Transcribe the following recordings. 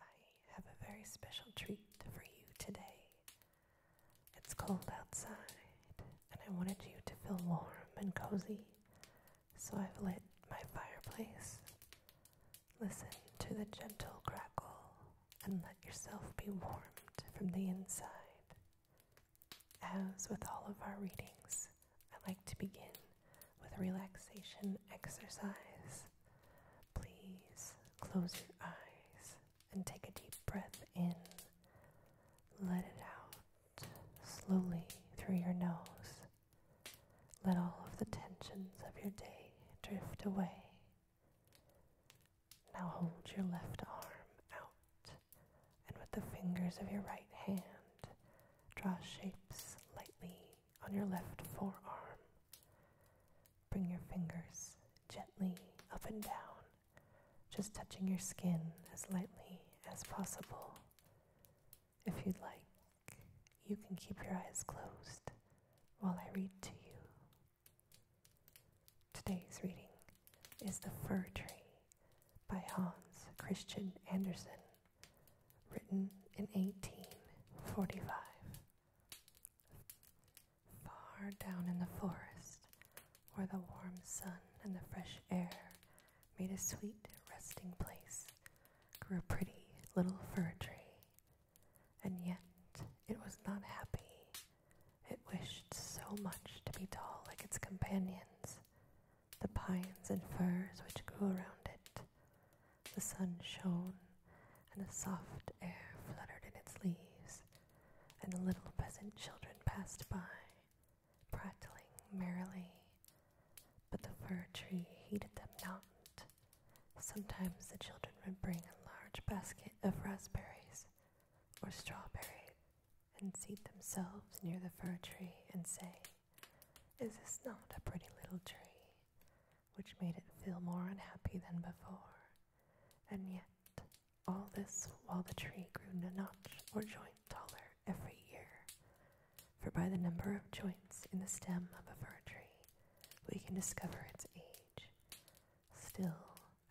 I have a very special treat for you today. It's cold outside, and I wanted you to feel warm and cozy, so I've lit my fireplace. Listen to the gentle crackle and let yourself be warmed from the inside. As with all of our readings, I like to begin with relaxation exercise. Please close your eyes and take a deep breath in. Let it out slowly through your nose. Let all of the tensions of your day drift away. Now hold your left arm out and with the fingers of your right hand, draw shapes lightly on your left forearm. Bring your fingers gently up and down, just touching your skin as lightly as possible. If you'd like, you can keep your eyes closed while I read to you. Today's reading is The Fir Tree by Hans Christian Andersen written in 1845. Far down in the forest, where the warm sun and the fresh air made a sweet resting place, grew a pretty little fir tree. And yet, it was not happy. It wished so much to be tall like its companions, the pines and firs which grew around it. The sun shone, and the soft air fluttered in its leaves, and the little peasant children passed by, prattling merrily. But the fir tree heeded them not. Sometimes the children would bring a large basket of raspberries or strawberries and seat themselves near the fir tree and say, is this not a pretty little tree? Which made it feel more unhappy than before. And yet, all this while the tree grew a notch or joint taller every year. For by the number of joints in the stem of a fir tree, we can discover its age. Still,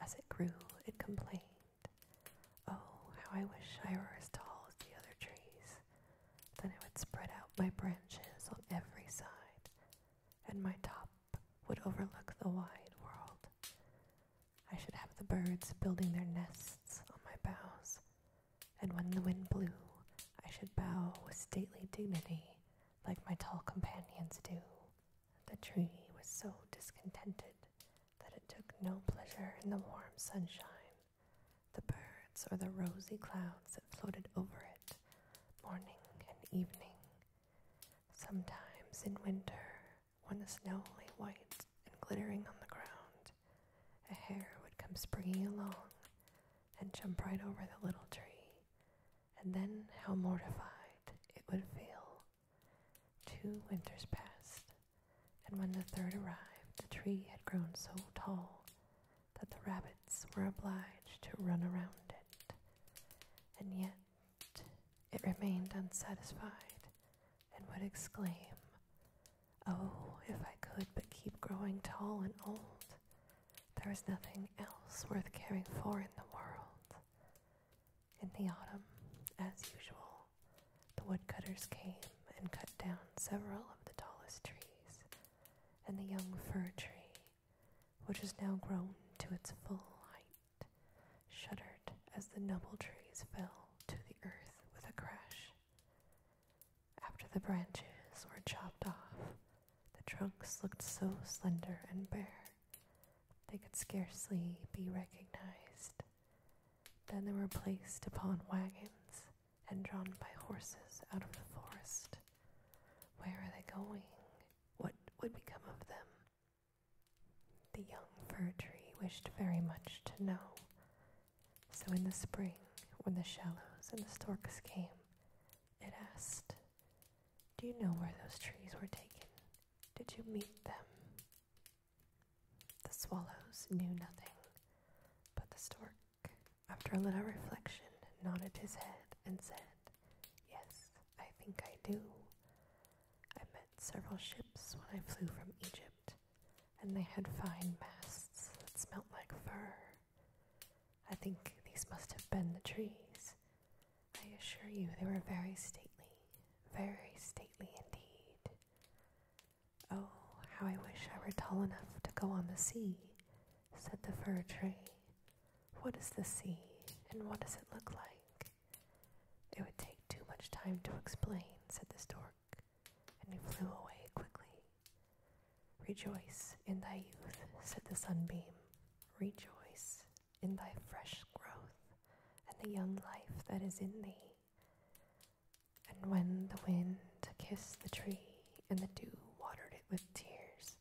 as it grew, it complained. Oh, how I wish I were as tall as the other trees. Then I would spread out my branches on every side, and my top would overlook the wide world. I should have the birds building their nests on my boughs, and when the wind blew, I should bow with stately dignity like my tall companions do. The tree was so discontented that it took no pleasure in the warm sunshine the birds or the rosy clouds that floated over it morning and evening. Sometimes in winter, when the snow lay white and glittering on the ground, a hare would come springing along and jump right over the little tree, and then how mortified it would feel. Two winters passed, and when the third arrived, the tree had grown so tall that the rabbits were obliged to run around it, and yet it remained unsatisfied and would exclaim, Oh, if I could but keep growing tall and old, there is nothing else worth caring for in the world. In the autumn, as usual, the woodcutters came and cut down several of the tallest trees and the young fir tree, which was now grown to its full height, shuddered as the noble trees fell to the earth with a crash. After the branches were chopped off, the trunks looked so slender and bare they could scarcely be recognized. Then they were placed upon wagons and drawn by horses out of the forest. Where are they going? What would become of them? The young fir tree wished very much to know. So in the spring, when the swallows and the storks came, it asked, Do you know where those trees were taken? Did you meet them? The swallows knew nothing, but the stork after a little reflection, nodded his head and said, Yes, I think I do. I met several ships when I flew from Egypt, and they had fine masts that smelt like fur. I think these must have been the trees. I assure you they were very stately, very stately indeed. Oh, how I wish I were tall enough to go on the sea, said the fir tree. What is the sea, and what does it look like? It would take too much time to explain, said the stork, and he flew away quickly. Rejoice in thy youth, said the sunbeam. Rejoice in thy fresh growth, and the young life that is in thee. And when the wind kissed the tree and the dew watered it with tears,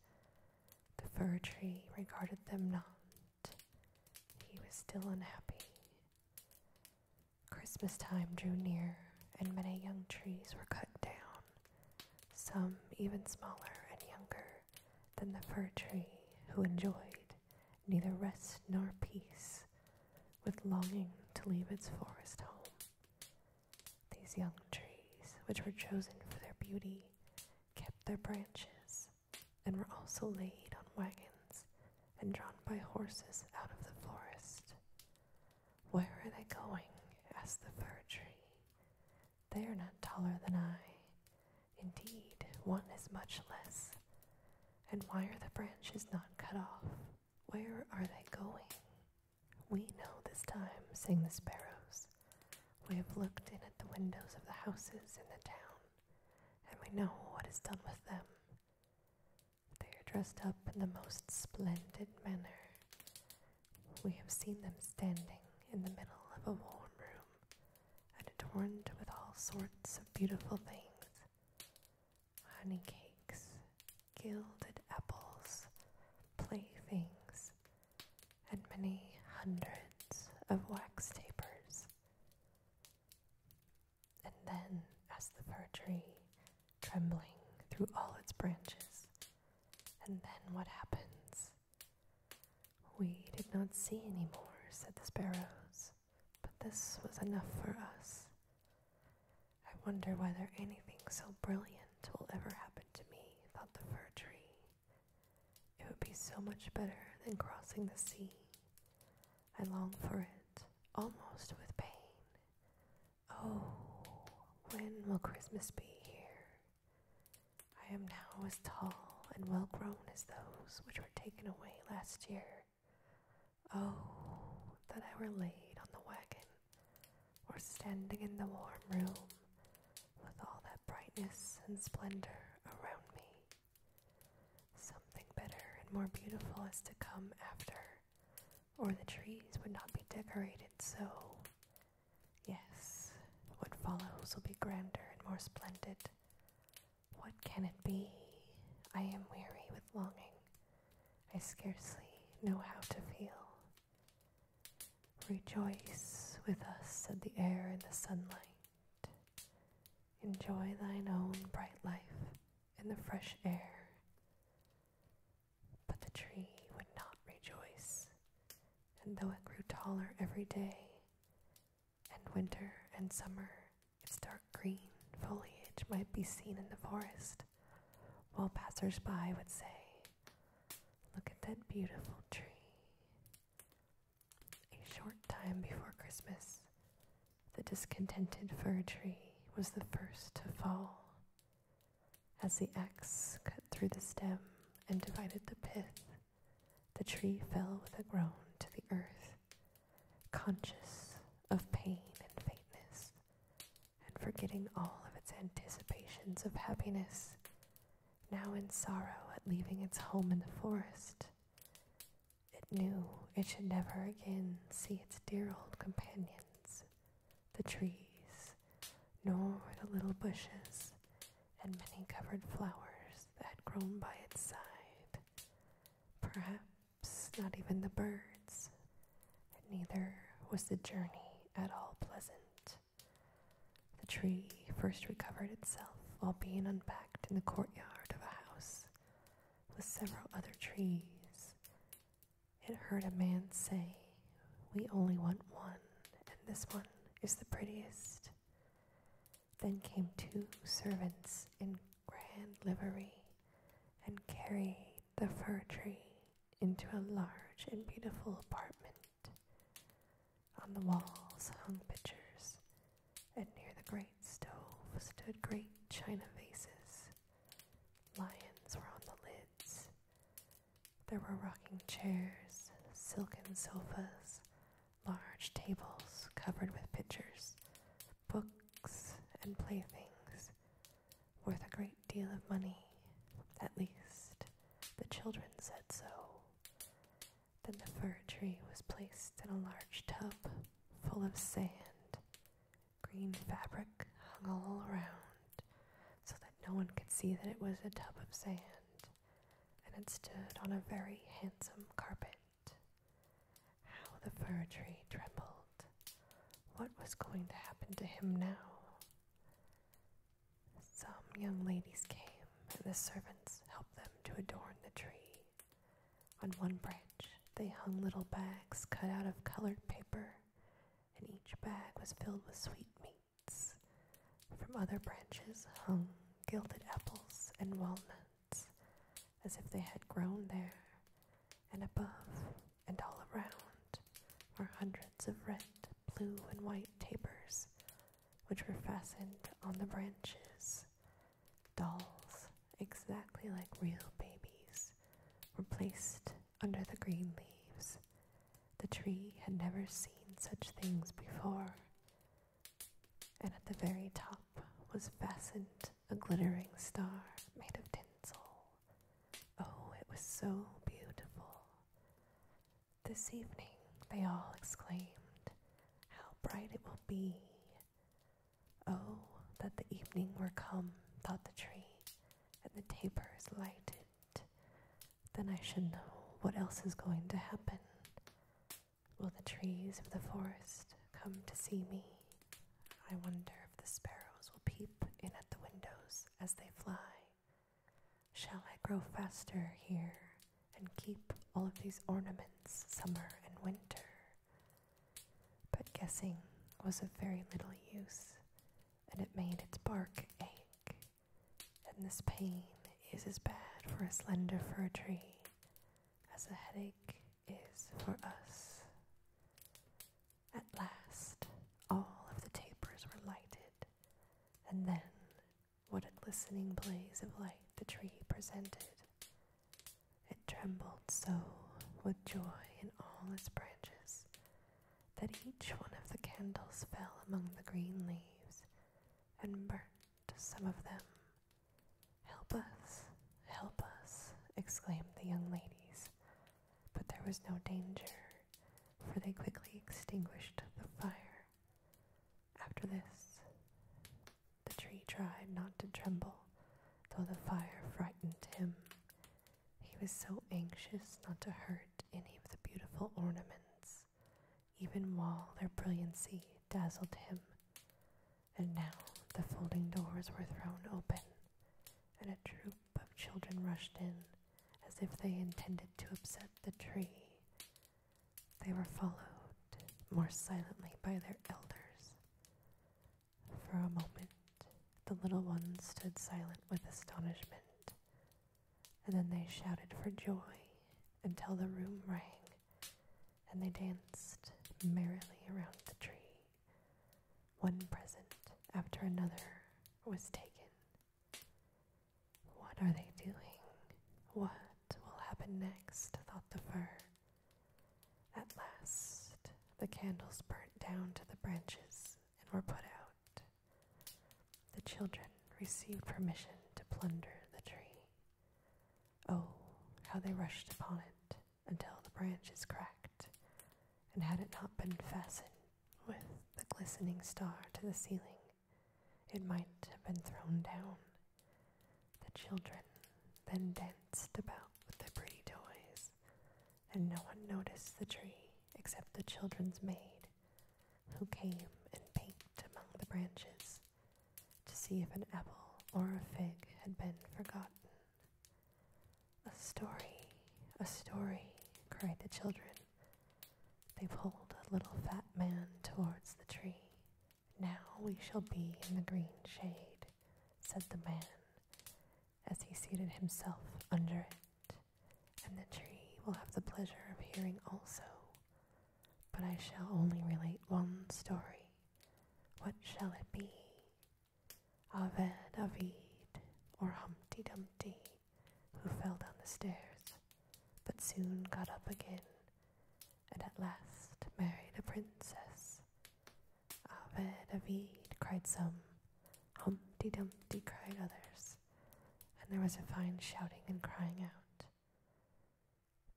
the fir tree regarded them not. He was still unhappy. Christmas time drew near, and many young trees were cut down, some even smaller and younger than the fir tree, who enjoyed neither rest nor peace, with longing to leave its forest home. These young trees, which were chosen for their beauty, kept their branches, and were also laid on wagons and drawn by horses out of the forest. Where are they going? asked the fir tree. They are not taller than I. Indeed, one is much less. And why are the branches not cut off? Where are they going? We know this time, sing the sparrows. We have looked in at the windows of the houses in the town, and we know what is done with them. They are dressed up in the most splendid manner. We have seen them standing in the middle of a warm room, and adorned with all sorts of beautiful things honey cakes, gilded apples, playthings, and many hundreds of wax tapers. And then, as the fir tree, trembling through all its branches, and then what happens? We did not see any more, said the sparrows, but this was enough for us. I wonder whether anything so brilliant will ever happen to me, thought the fir tree. It would be so much better than crossing the sea. I long for it, almost with pain. Oh, when will Christmas be here? I am now as tall and well grown as those which were taken away last year. Oh, that I were laid on the wagon, or standing in the warm room, with all that brightness and splendor around me. Something better and more beautiful is to come after, or the trees would not be decorated so. Yes, what follows will be grander and more splendid. What can it be? I am weary with longing. I scarcely know how to feel. Rejoice with us, said the air and the sunlight. Enjoy thine own bright life in the fresh air. But the tree would not rejoice, and though it grew taller every day, and winter and summer its dark green foliage might be seen in the forest, while passers-by would say, Look at that beautiful tree. A short time before Christmas, the discontented fir tree was the first to fall. As the axe cut through the stem and divided the pith, the tree fell with a groan to the earth conscious of pain and faintness, and forgetting all of its anticipations of happiness, now in sorrow at leaving its home in the forest. It knew it should never again see its dear old companions, the trees, nor the little bushes and many covered flowers that had grown by its side. Perhaps not even the birds. neither was the journey at all pleasant. The tree first recovered itself while being unpacked in the courtyard of a house with several other trees. It heard a man say, We only want one, and this one is the prettiest. Then came two servants in grand livery and carried the fir tree into a large and beautiful apartment. On the walls hung pictures, and near the great stove stood great china vases. Lions were on the lids. There were rocking chairs, silken sofas, large tables covered with pictures, books, and playthings worth a great deal of money. At least the children said so. Then the fir tree was placed in a large tub full of sand. Green fabric hung all around so that no one could see that it was a tub of sand, and it stood on a very handsome carpet. How the fir tree trembled. What was going to happen to him now? Some young ladies came, and the servants helped them to adorn the tree. On one branch, they hung little bags cut out of colored paper, and each bag was filled with sweetmeats. From other branches hung gilded apples and walnuts as if they had grown there, and above and all around were hundreds of red, blue, and white tapers which were fastened on the branches. Dolls, exactly like real babies, were placed under the green leaves. The tree had never seen such things before, and at the very top was fastened a glittering star made of tinsel. Oh, it was so beautiful. This evening, they all exclaimed, How bright it will be! Oh, that the evening were come, thought the tree, and the tapers lighted. Then I should know what else is going to happen. Will the trees of the forest come to see me? I wonder if the sparrows will peep in at the windows as they fly. Shall I grow faster here and keep all of these ornaments summer and winter? But guessing was of very little use, and it made its bark ache. And this pain is as bad for a slender fir tree as a headache is for us. At last, all of the tapers were lighted, and then what a glistening blaze of light the tree presented! It trembled so with joy in all its branches that each one of the candles fell among the green leaves and burnt some of them Help us, help us, exclaimed the young ladies. But there was no danger, for they quickly extinguished the fire. After this, the tree tried not to tremble, though the fire frightened him. He was so anxious not to hurt any of the beautiful ornaments, even while their brilliancy dazzled him. And now the folding doors were thrown open, and a troop of children rushed in as if they intended to upset the tree. They were followed more silently by their elders. For a moment, the little ones stood silent with astonishment, and then they shouted for joy until the room rang and they danced merrily around the tree. One present after another was taken. What are they doing? What will happen next? thought the fir. At last, the candles burnt down to the branches and were put out. The children received permission to plunder the tree. Oh, how they rushed upon it! until the branches cracked, and had it not been fastened with the glistening star to the ceiling, it might have been thrown down. The children then danced about with their pretty toys, and no one noticed the tree except the children's maid, who came and peeped among the branches to see if an apple or a fig had been forgotten. A story, a story, cried the children. They pulled a little fat man towards the tree. Now we shall be in the green shade, said the man, as he seated himself under it, and the tree will have the pleasure of hearing also. But I shall only relate one story. What shall it be? Aved Avid, or Humpty Dumpty, who fell down the stairs, but soon got up again, and at last married a princess. Aved Avid, cried some. Humpty Dumpty, cried others. And there was a fine shouting and crying out.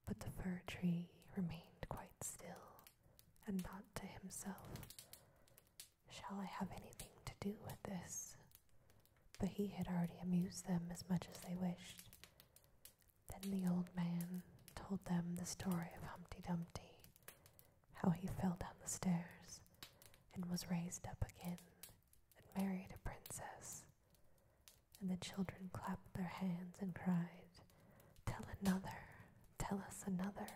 But the fir tree remained quite still and not to himself, Shall I have anything to do with this? But he had already amused them as much as they wished. Then the old man told them the story of Humpty Dumpty, how he fell down the stairs and was raised up again and married a princess, and the children clapped their hands and cried, Tell another, tell us another.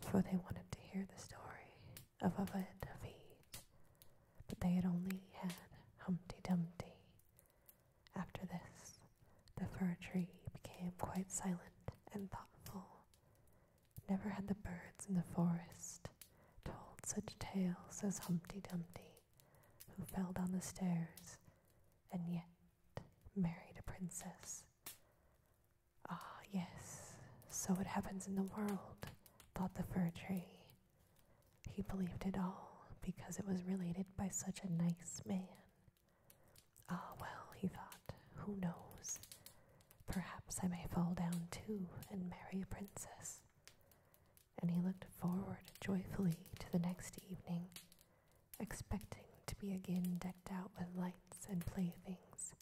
For they wanted to hear the story of Ovid Ovid, but they had only had Humpty Dumpty. After this, the fir tree became quite silent and thoughtful. Never had the birds in the forest told such tales as Humpty Dumpty who fell down the stairs and yet married a princess. Ah, yes, so it happens in the world, thought the fir tree. He believed it all because it was related by such a nice man. Ah, well, he thought, who knows? Perhaps I may fall down too and marry a princess and he looked forward joyfully to the next evening, expecting to be again decked out with lights and playthings,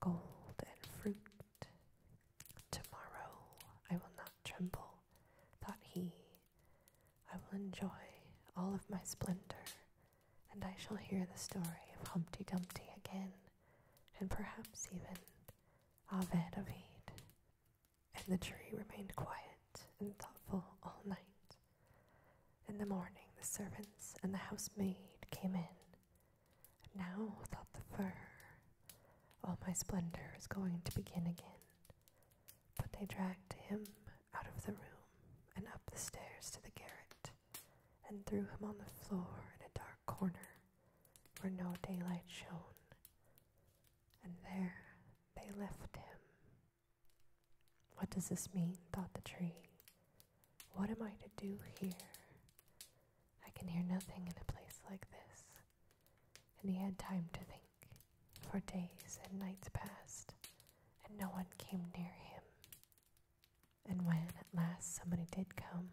gold and fruit. Tomorrow I will not tremble, thought he. I will enjoy all of my splendor, and I shall hear the story of Humpty Dumpty again, and perhaps even Ovid of Eid and the tree remained quiet and thoughtful all night. In the morning, the servants and the housemaid came in. Now, thought the fir, all my splendor is going to begin again. But they dragged him out of the room and up the stairs to the garret, and threw him on the floor in a dark corner where no daylight shone. And there they left him. What does this mean? thought the tree. What am I to do here? I can hear nothing in a place like this. And he had time to think. For days and nights passed, and no one came near him. And when at last somebody did come,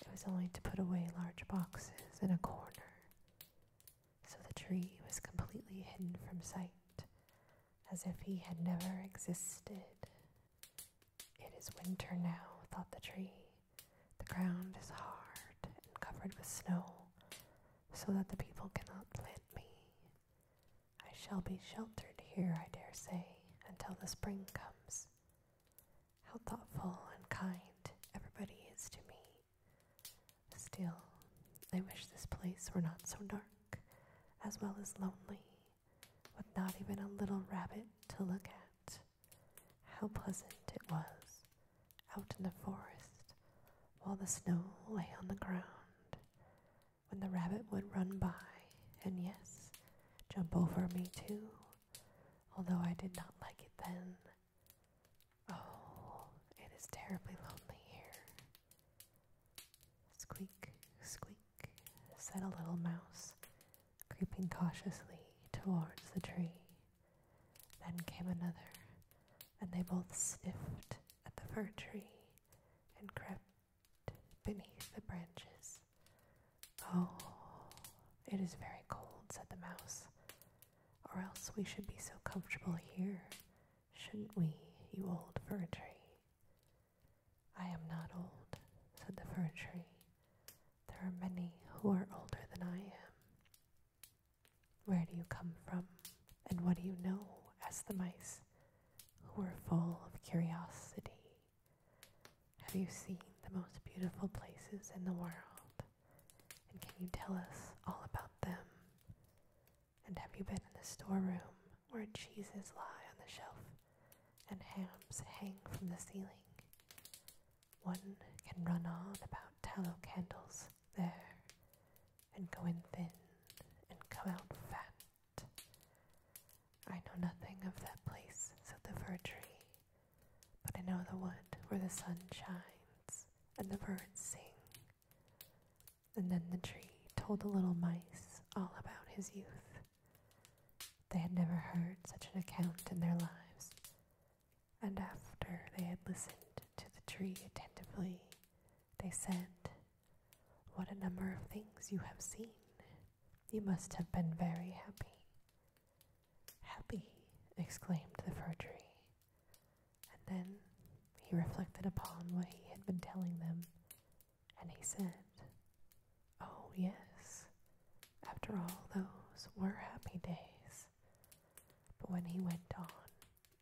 it was only to put away large boxes in a corner so the tree was completely hidden from sight, as if he had never existed. It is winter now, thought the tree. The ground is hard and covered with snow, so that the people cannot plant me. I shall be sheltered here, I dare say, until the spring comes. How thoughtful and kind everybody is to me. Still, I wish this place were not so dark, as well as lonely, with not even a little rabbit to look at. How pleasant it was, out in the forest, while the snow lay on the ground, when the rabbit would run by, and yes, jump over me too, although I did not like it then Oh, it is terribly lonely here. Squeak, squeak, said a little mouse, creeping cautiously towards the tree. Then came another, and they both sniffed at the fir tree and crept beneath the branches. Oh, it is very cold, said the mouse, or else we should be so comfortable here, shouldn't we, you old fir tree? I am not old, said the fir tree. There are many who are older than I am. Where do you come from, and what do you know? asked the mice, who were full of curiosity. Have you seen the most beautiful places in the world? And can you tell us all about them? And have you been in the storeroom where cheeses lie on the shelf and hams hang from the ceiling? One can run on about tallow candles there and go in thin and come out fat. I know nothing of that place, said the fir tree, but I know the wood where the sun shines and the birds sing. And then the tree told the little mice all about his youth. They had never heard such an account in their lives. And after they had listened to the tree attentively, they said, What a number of things you have seen! You must have been very happy. Happy, exclaimed the fir tree. And then he reflected upon what he had been telling them, and he said, Oh, yes, after all, those were happy days. But when he went on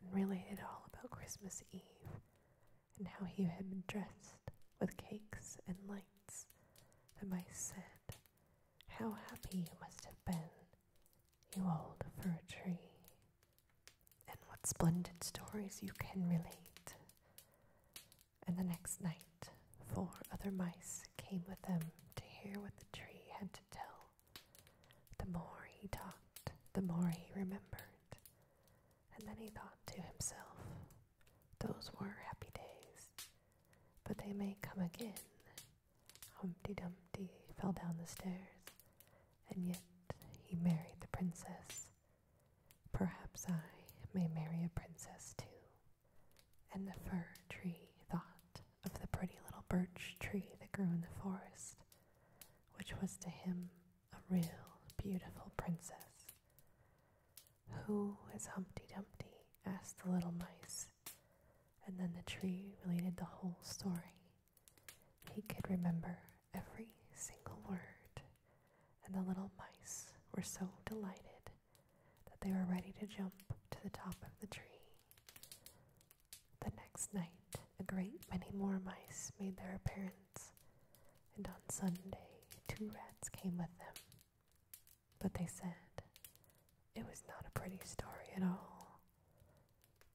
and related all about Christmas Eve and how he had been dressed with cakes and lights, the mice said, How happy you must have been! you old fir tree, and what splendid stories you can relate. And the next night, four other mice came with them to hear what the tree had to tell. The more he talked, the more he remembered. And then he thought to himself, Those were happy days, but they may come again, Humpty Dumpty fell down the stairs, and yet he married the princess. Perhaps I may marry a princess too. And the fir tree thought of the pretty little birch tree that grew in the forest, which was to him a real beautiful princess. Who is Humpty Dumpty? asked the little mice and then the tree related the whole story. He could remember every single word, and the little mice were so delighted that they were ready to jump to the top of the tree. The next night, a great many more mice made their appearance, and on Sunday, two rats came with them. But they said it was not a pretty story at all,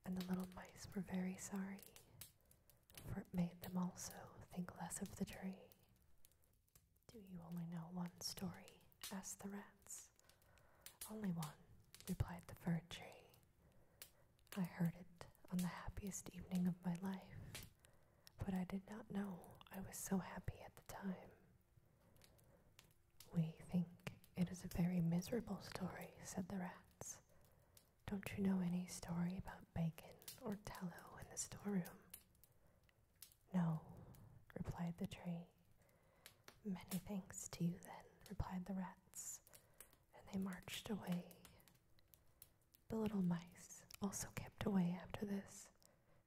and the little mice were very sorry, for it made them also think less of the tree. Do you only know one story? asked the rats. Only one, replied the fir tree. I heard it on the happiest evening of my life, but I did not know I was so happy at the time. We think it is a very miserable story, said the rats. Don't you know any story about bacon or tallow in the storeroom? No, replied the tree. Many thanks to you, then, replied the rats, and they marched away. The little mice also kept away after this,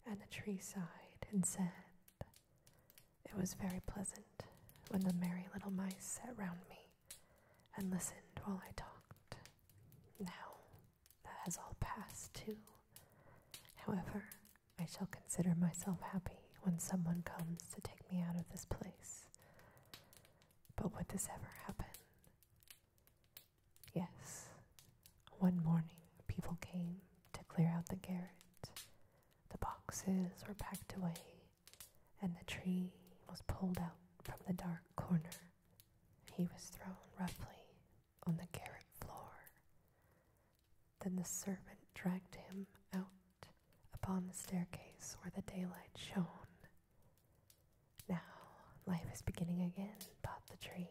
and the tree sighed and said, It was very pleasant when the merry little mice sat round me and listened while I talked. Now that has all passed too. However, I shall consider myself happy when someone comes to take me out of this place. But would this ever happen? Yes, one morning, people came to clear out the garret. The boxes were packed away, and the tree was pulled out from the dark corner. He was thrown roughly on the garret floor. Then the servant dragged him out upon the staircase where the daylight shone. Now life is beginning again, thought the tree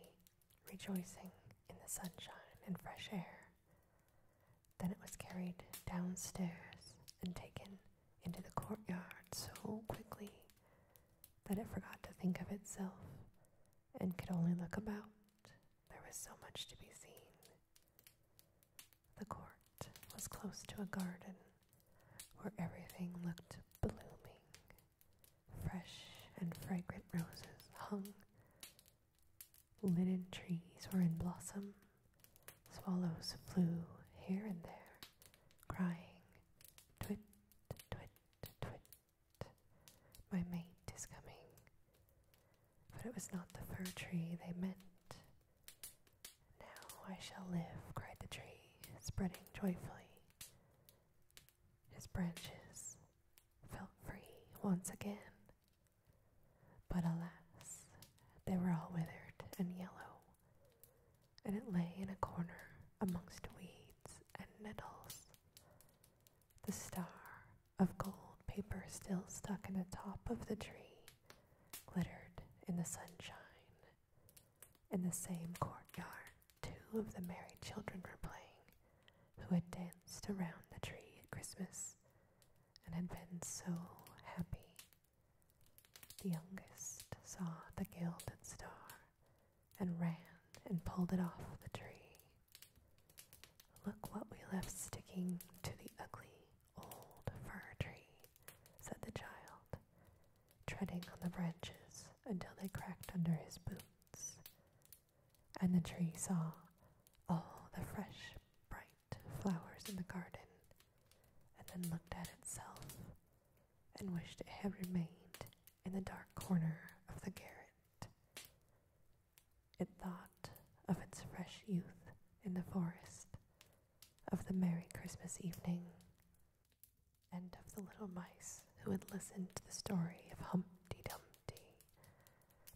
rejoicing in the sunshine and fresh air. Then it was carried downstairs and taken into the courtyard so quickly that it forgot to think of itself and could only look about. There was so much to be seen. The court was close to a garden where everything looked blooming. Fresh and fragrant roses hung Linen trees were in blossom. Swallows flew here and there, crying, Twit, twit, twit, my mate is coming. But it was not the fir tree they meant. Now I shall live, cried the tree, spreading joyfully. His branches felt free once again. But alas, they were all withered and yellow, and it lay in a corner amongst weeds and nettles. The star of gold paper still stuck in the top of the tree glittered in the sunshine. In the same courtyard, two of the merry children were playing who had danced around the tree at Christmas and had been so happy. The youngest saw the gilded star and ran and pulled it off the tree. Look what we left sticking to the ugly old fir tree, said the child, treading on the branches until they cracked under his boots and the tree saw all the fresh, bright flowers in the garden, and then looked at itself and wished it had remained in the dark corner of the garret. It thought of its fresh youth in the forest, of the merry Christmas evening, and of the little mice who had listened to the story of Humpty Dumpty.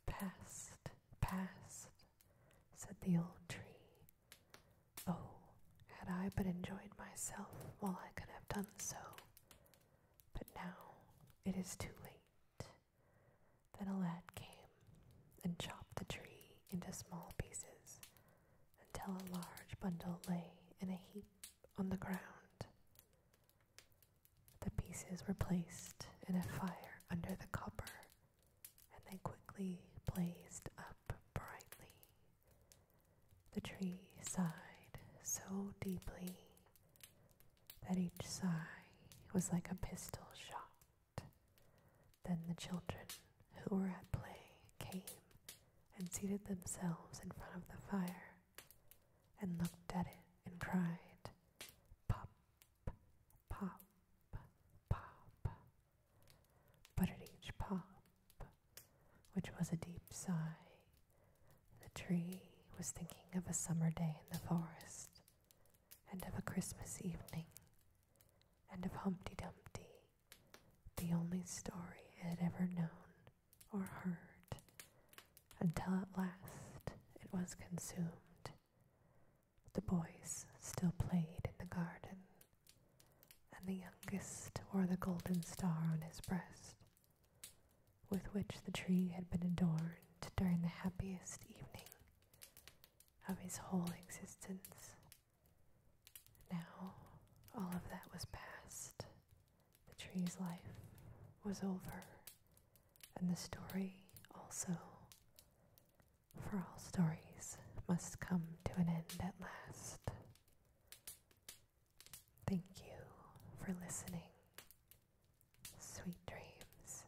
Past, past, said the old tree. Oh, had I but enjoyed myself while I could have done so. But now it is too late. Then a lad came and chopped the tree into small pieces until a large bundle lay in a heap on the ground. The pieces were placed in a fire under the copper, and they quickly blazed up brightly. The tree sighed so deeply that each sigh was like a pistol shot. Then the children who were at play came and seated themselves in front of the fire and looked at it and cried, Pop, pop, pop. But at each pop, which was a deep sigh, the tree was thinking of a summer day in the forest, and of a Christmas evening, and of Humpty Dumpty, the only story it had ever known, or heard, until at last it was consumed. The boys still played in the garden, and the youngest wore the golden star on his breast, with which the tree had been adorned during the happiest evening of his whole existence. Now all of that was past. The tree's life was over, and the story also. For all stories must come to an end at last. Thank you for listening. Sweet dreams.